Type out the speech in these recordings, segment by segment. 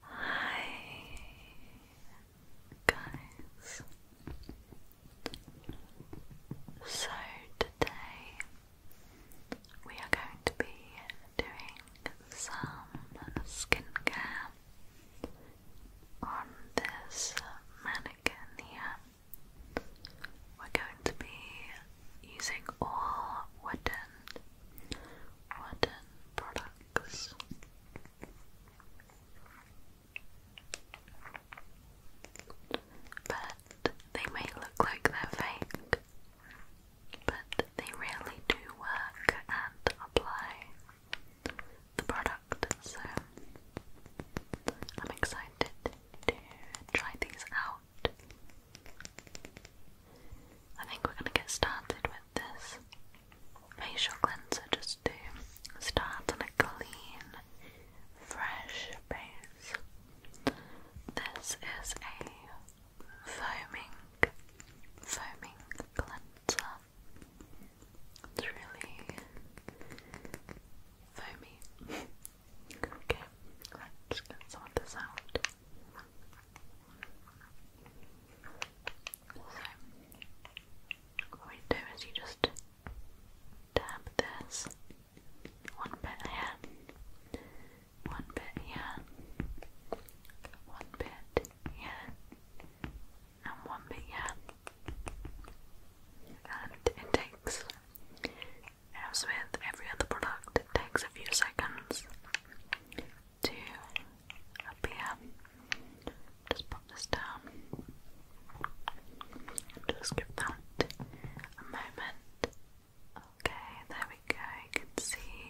Hi guys. So today we are going to be doing some skincare on this mannequin here. We're going to be using all wooden wooden products. But they may look like they're fake, but they really do work and apply the product. So I'm excited to try these out. I think we're going to get started with this facial cleanser just to start on a clean, fresh base. This is a foaming, foaming cleanser. It's really foamy. okay, let get some of this out. So, what we do is you just dab this one bit here, one bit here, one bit here, and one bit here. And it takes, as with every other product, it takes a few seconds to up Just pop this down. Just give that a moment. Okay, there we go. You can see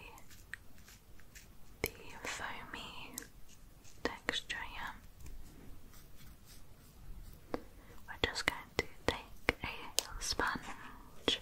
the foamy texture here. We're just going to take a sponge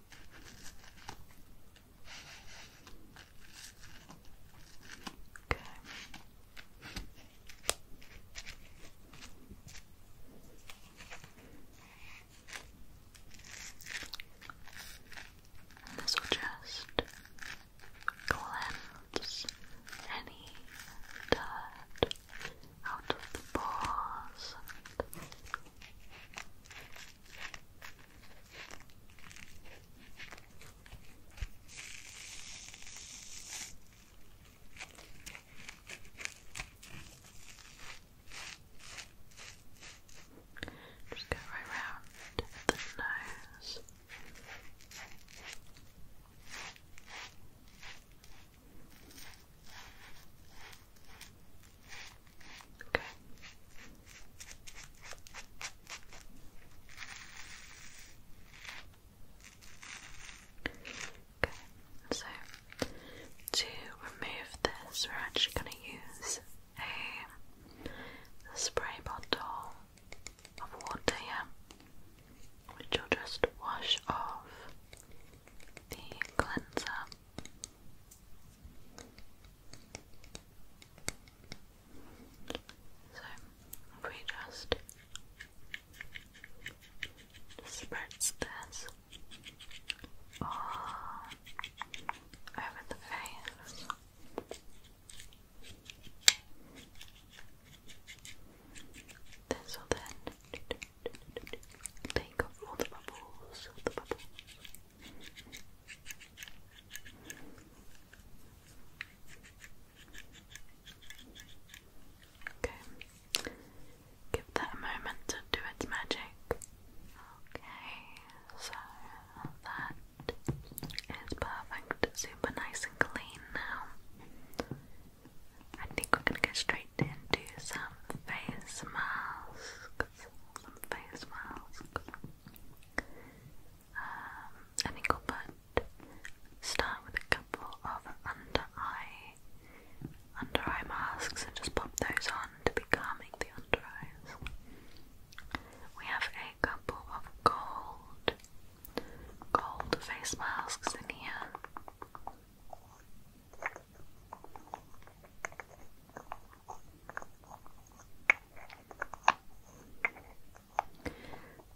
Okay. And this will just cleanse any dirt out of the paws. Just go right round the nose. Okay. Okay, so to remove this, we're actually going to use a, spray bottle of water here, which will just wash off the cleanser so we just disperse this all over the face. This will then Take off all the bubbles, all the bubbles. Okay. Give that a moment to do its magic. Okay, so that is perfect. Super nice and clean now. I think we're gonna go straight into some face masks. Some face masks. Um, I think i start with a couple of under eye under eye masks and just pop those on to be calming the under eyes. We have a couple of gold gold face masks in here.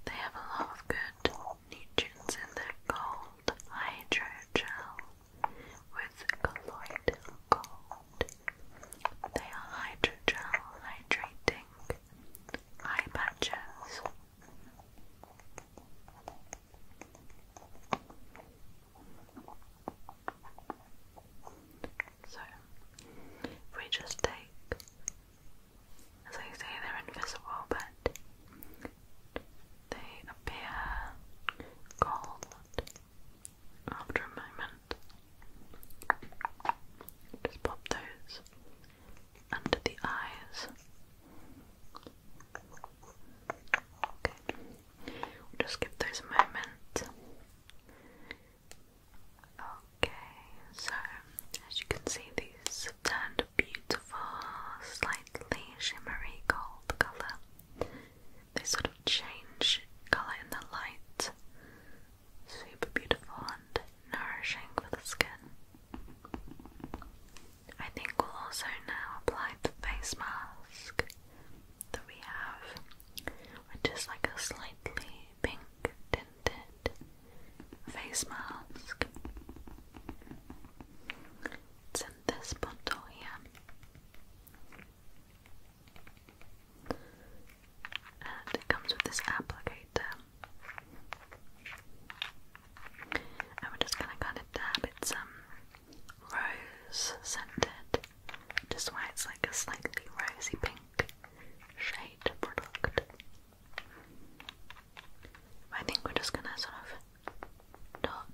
They have a lot of good nutrients in their gold hydrogel with colloidal gold. They are hydrogel hydrating eye patches. So, if we just take, as I say, they're invisible, but they appear cold after a moment. Just pop those under the eyes just give those a moment. Okay, so as you can see, these have turned a beautiful, slightly shimmery gold colour. They sort of change colour in the light. Super beautiful and nourishing for the skin. I think we'll also now apply the face mask that we have, which is like a slightly pink tinted face mask. It's in this bottle here. And it comes with this applicator and we're just gonna kind of dab it some um, rose scented, just why it's like a slightly rosy pink shade product. I think we're just gonna sort of dot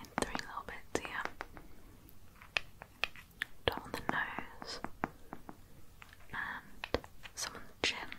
in three little bits here. Dot on the nose and some on the chin.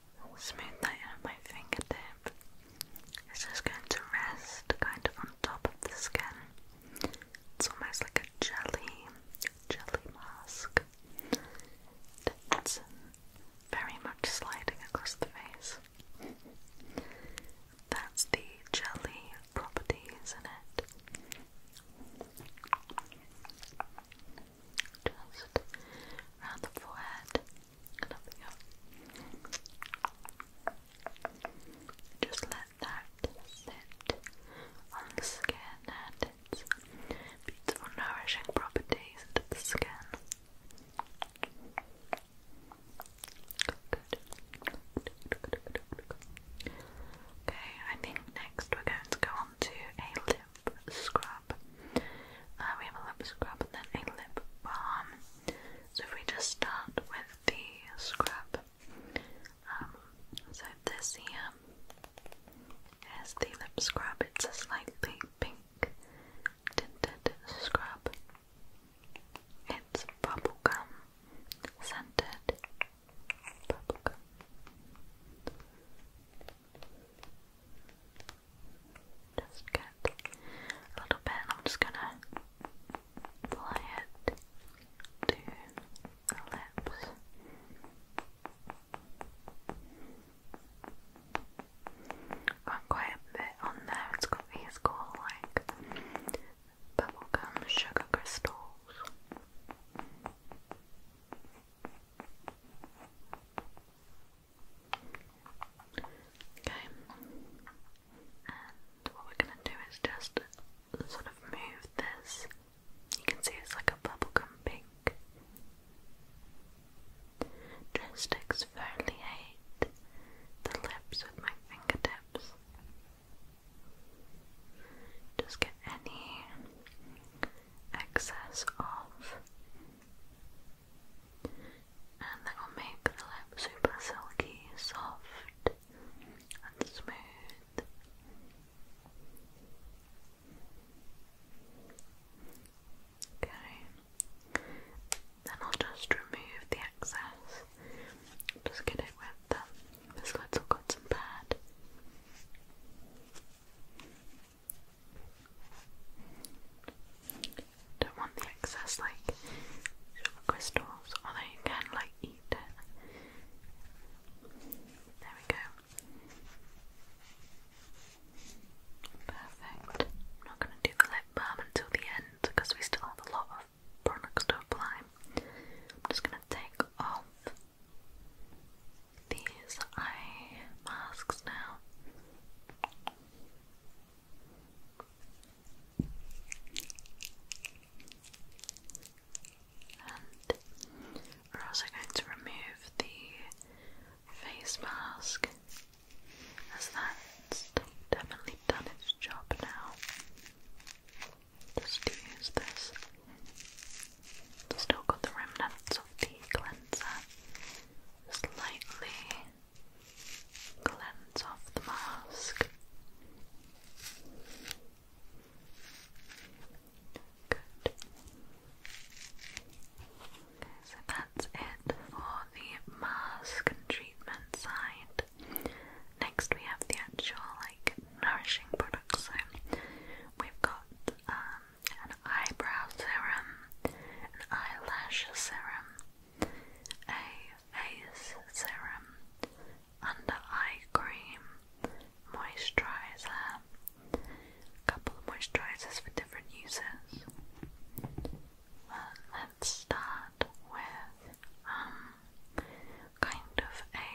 smooth that in my fingertip. It's just going to rest kind of on top of the skin. It's almost like a jelly, jelly mask. It's very much sliding across the face. That's the jelly property, isn't it. Just around the forehead. Just let that sit on the skin and its beautiful nourishing properties to the skin. Okay, I think next we're going to go on to a lip scrub. Uh, we have a lip scrub and then a lip balm. So if we just start with the scrub, um, so this here is the lip scrub. It's a slightly pink tinted scrub. It's bubblegum scented. Bubblegum. Just get a little bit I'm just gonna apply it to the lips. Got quite a bit on there, it's got these cool like bubblegum sugar crystals. Okay, and what we're gonna do is just sort of move this. You can see it's like a bubble, bubblegum pink. Just exfoliate the lips with my fingertips. Just get any excess of and that will make the lip super silky, soft, and smooth. Okay, then I'll just remove the excess, just get it with um, little cotton pad. Don't want the excess like crystals, although oh, you can like eat it. There we go. Perfect. not going to do the lip balm until the end because we still have a lot of products to apply. I'm just going to take off these eye masks now. And we're also going to remove the face mask as that's definitely done its job now. Just use this Still got the remnants of the cleanser. Slightly cleans off the mask. Good. so that's it for the mask and treatment side. Next, we have the actual like nourishing products. So we've got um, an eyebrow serum, an eyelash serum, a face serum, under eye cream, moisturizer, a couple of moisturizers for different uses. Well, uh, let's start with um kind of a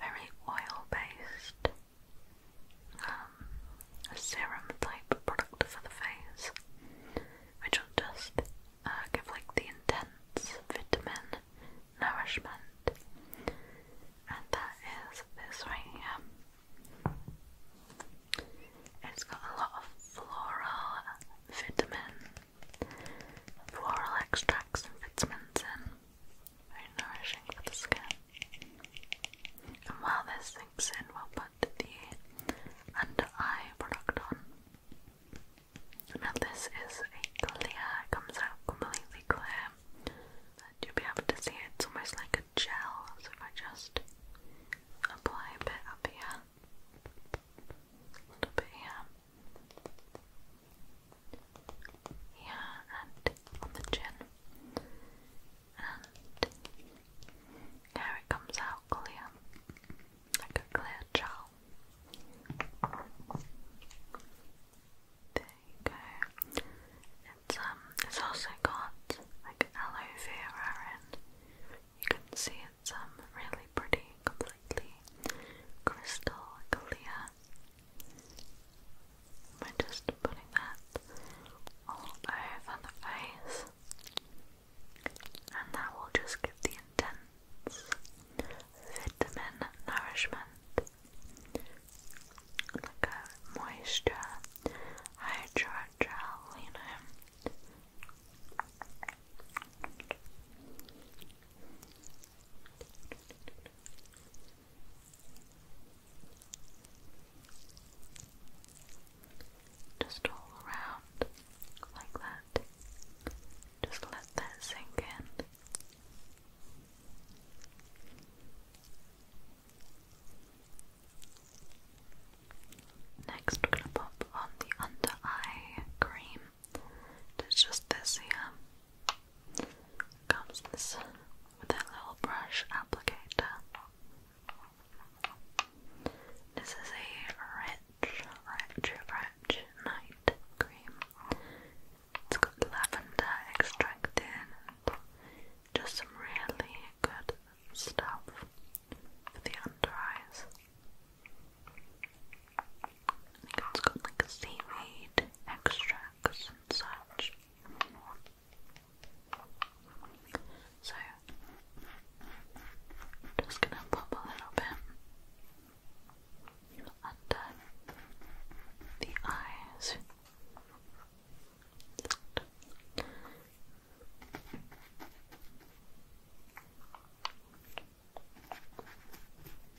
very oil based um, a serum type product for the face, which will just uh, give like the intense vitamin nourishment, and that is this right here. It's got a lot of floral vitamin, floral extracts and vitamins in very nourishing for the skin. And while this sinks in, we'll put the under eye product on. Now this is a clear, it comes out completely clear. And you'll be able to see it. it's almost like a gel, so I just apply a bit up here, a little bit here, here and on the chin, and here it comes out clear, like a clear gel. There you go. It's um, it's also got like aloe vera in. You can see it's um really pretty, completely crystal clear. We're just putting that all over the face, and that will just give the intense vitamin nourishment, like a moisture hydrogel, you just all around, like that. Just let that sink in. Next, we're going to pop on the under eye cream. It's just this here comes this with a little brush applicator. This is a rich, rich, rich night cream. It's got lavender extract in just some really good stuff for the under eyes. it's got like seaweed extracts and So, just gonna pop a little bit under the eyes.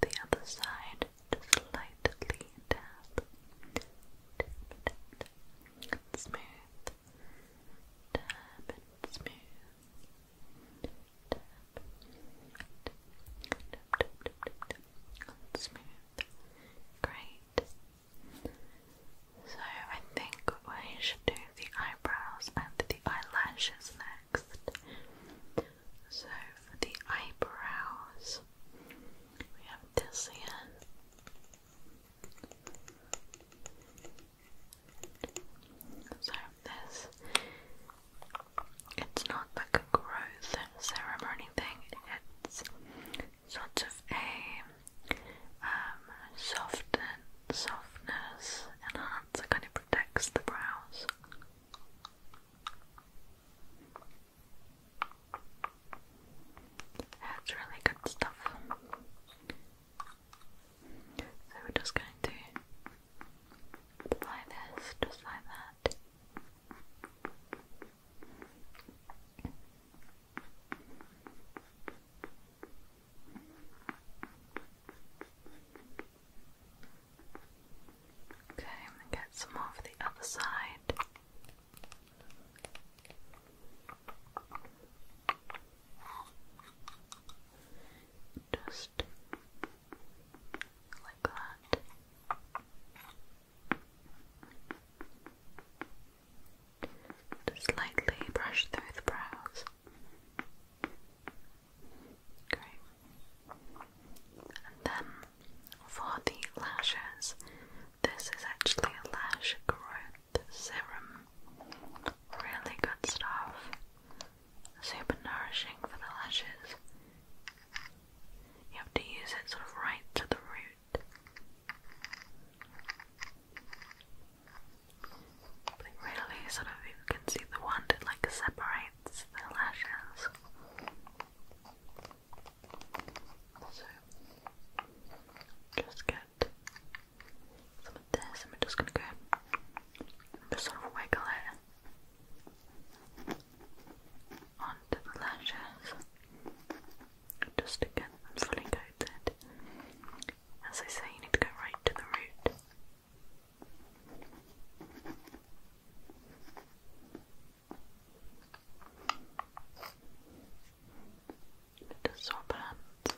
The other side, just lightly tap. Tap, tap, tap. Smooth. Tap and smooth. Tap. Tap, tap, tap, tap, tap. And smooth. Great. So I think we should do the eyebrows and the eyelashes now. So for the eyebrows, we have this here. So this, it's not like a growth serum or anything. It's sort of a um, softness enhancer, kind of protects the brows. That's really good stuff. So we're just going to apply this just like that. Okay, I'm gonna get some more for the other side. Just like that. Just lightly brush through the brows. And then for the lashes, this is actually a lash growth serum. Really good stuff. Super nourishing for the lashes. You have to use it sort of right to the root. really, sort of, you can see the wand, it like separates just get some of this, and we're just gonna go just sort of wiggle it onto the lashes just to get fully coated. As I say, you need to go right to the root just swap hands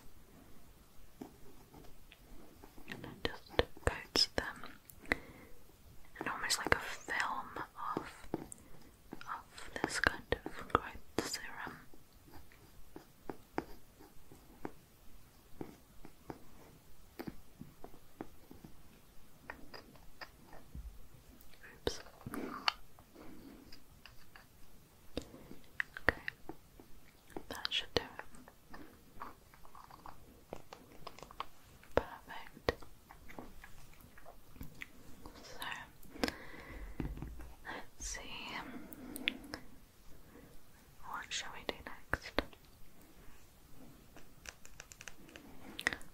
and it just coats them and almost like a film of of this kind of growth serum. Oops. Okay. That should do it. Perfect. So let's see. What shall we do next?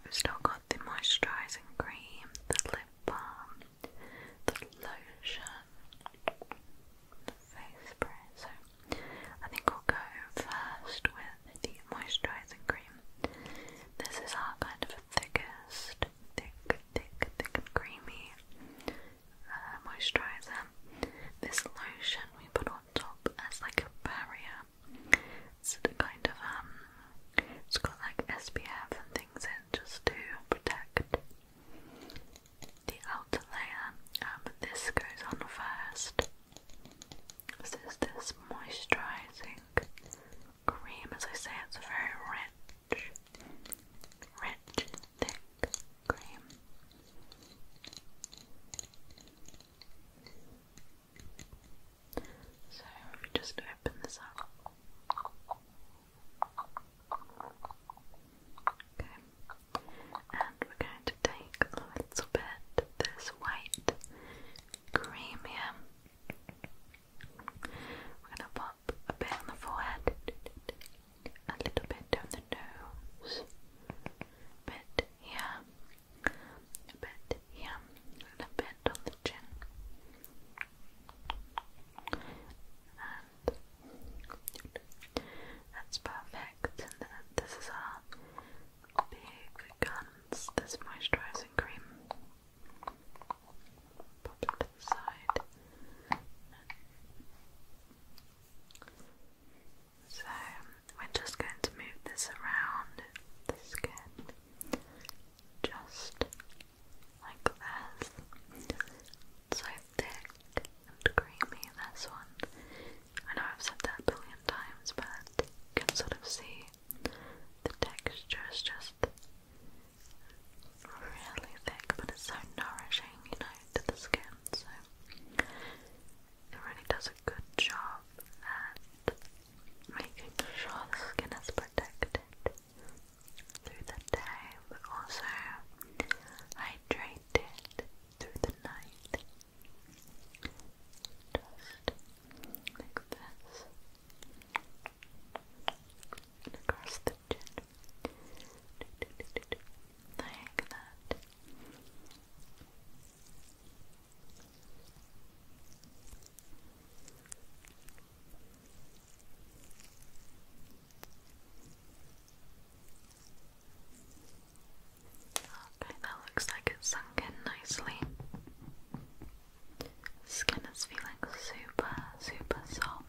We've still got the moisturising cream, the lip balm, the lotion, the face spray. So I think we'll go first with the moisturising cream. This is our kind of thickest, thick, thick, thick and creamy uh, moisturiser. This lotion we put on top as like a barrier. It's kind of um, it's got like SPF and things in just to protect the outer layer. Um, this goes on first. This is this moisturising cream. As I say, it's very rich, rich, thick cream. So just open this up. Okay, and we're going to take a little bit this white cream here. We're going to pop a bit on the forehead a little bit down the nose, bit here, a bit here, a bit on the chin. And that's perfect. And then this is our big guns, this moisturising cream. Pop it so we're just going to move this around the skin just like this. So thick and creamy, this one. I know I've said that a billion times, but you can sort of see the texture is just really thick, but it's so nourishing, you know, to the skin in. So it really does a good job at making sure the skin is protected through the day, but also hydrated through the night. Just like this. And across the chin. Like that. Okay, that looks like it's sunk in nicely. Skin is feeling super, super soft.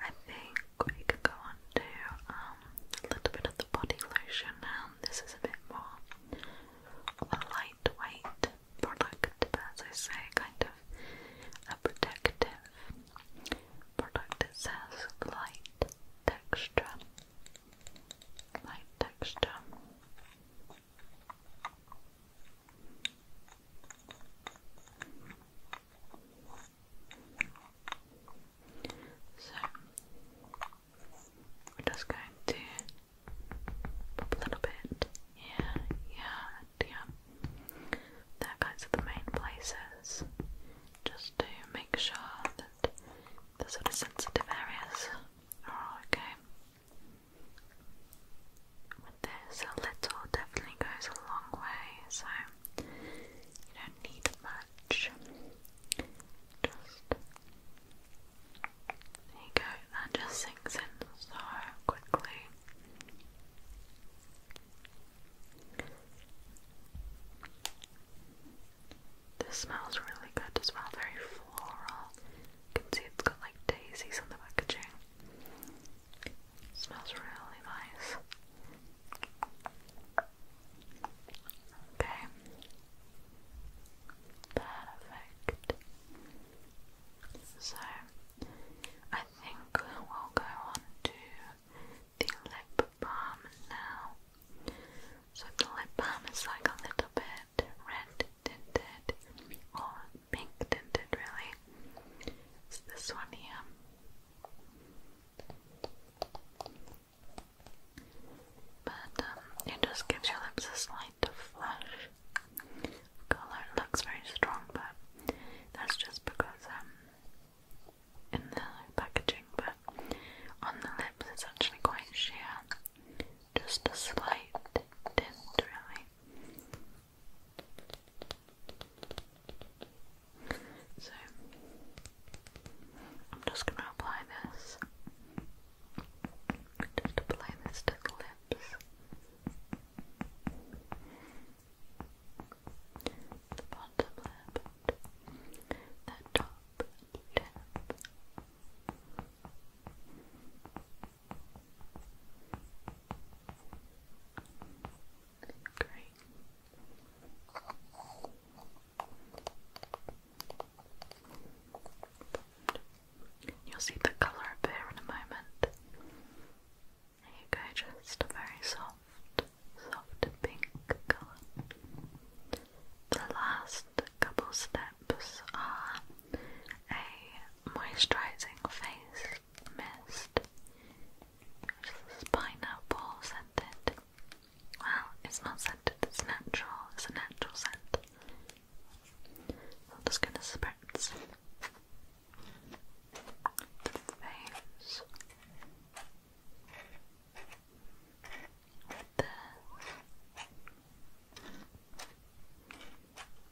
I think we could go on to um, a little bit of the body lotion now. This is a bit more a lightweight product, as I say, kind of a protective product. It says light texture. Light texture. So we're just going to pop a little bit here, yeah, yeah. There guys are the main places. Just to make sure that the sort sensitive areas are okay with this. A little definitely goes a long way, so you don't need much. Just there you go, that just sinks in so quickly. This smells really good as well, very floral. You can see it's got like daisies on the packaging. Smells really nice. Okay. Perfect. So I think we'll go on to the lip balm now. So the lip balm is like a little bit red tinted or pink tinted really. It's this one here. But um, it just gives your lips a slight flush color. It looks very strong, but that's just because um, in the packaging. But on the lips, it's actually quite sheer. Just a slight tint, really. So I'm just going to apply this. Just apply this to the lips. The bottom lip. The top lip. Great. You'll see the colour appear in a moment. There you go, just a very soft, soft pink The last couple steps are a moisturising face mist, which is pineapple scented. Well, it's not scented, it's natural, it's a natural scent. I'm just gonna spritz the face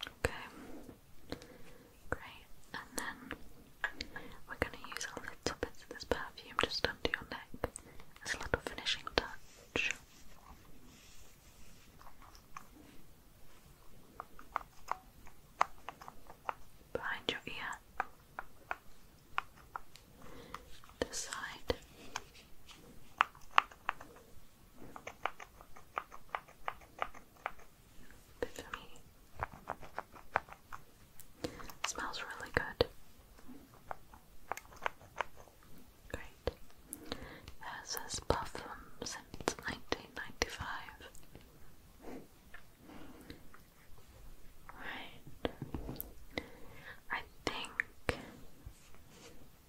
Okay. Great, and then we're going to use our little bits of this perfume just under your neck as a little finishing touch. Behind your ear, this side. But for me, it smells really good. Great. it says perfume since 1995. Right. I think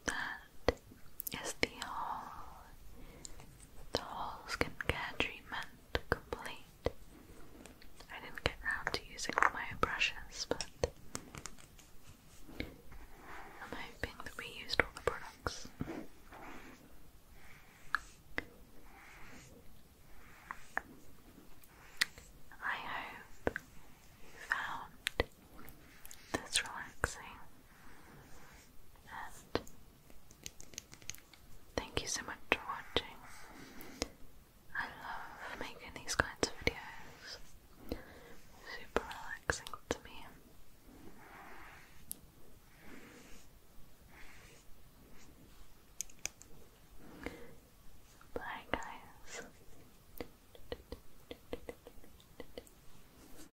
that is the whole, the whole skincare treatment complete. I didn't get round to using all my brushes, but I'm hoping that we used all the products. I hope you found this relaxing and thank you so much for watching. I love making these kinds of videos. Super relaxing to me. Bye, guys.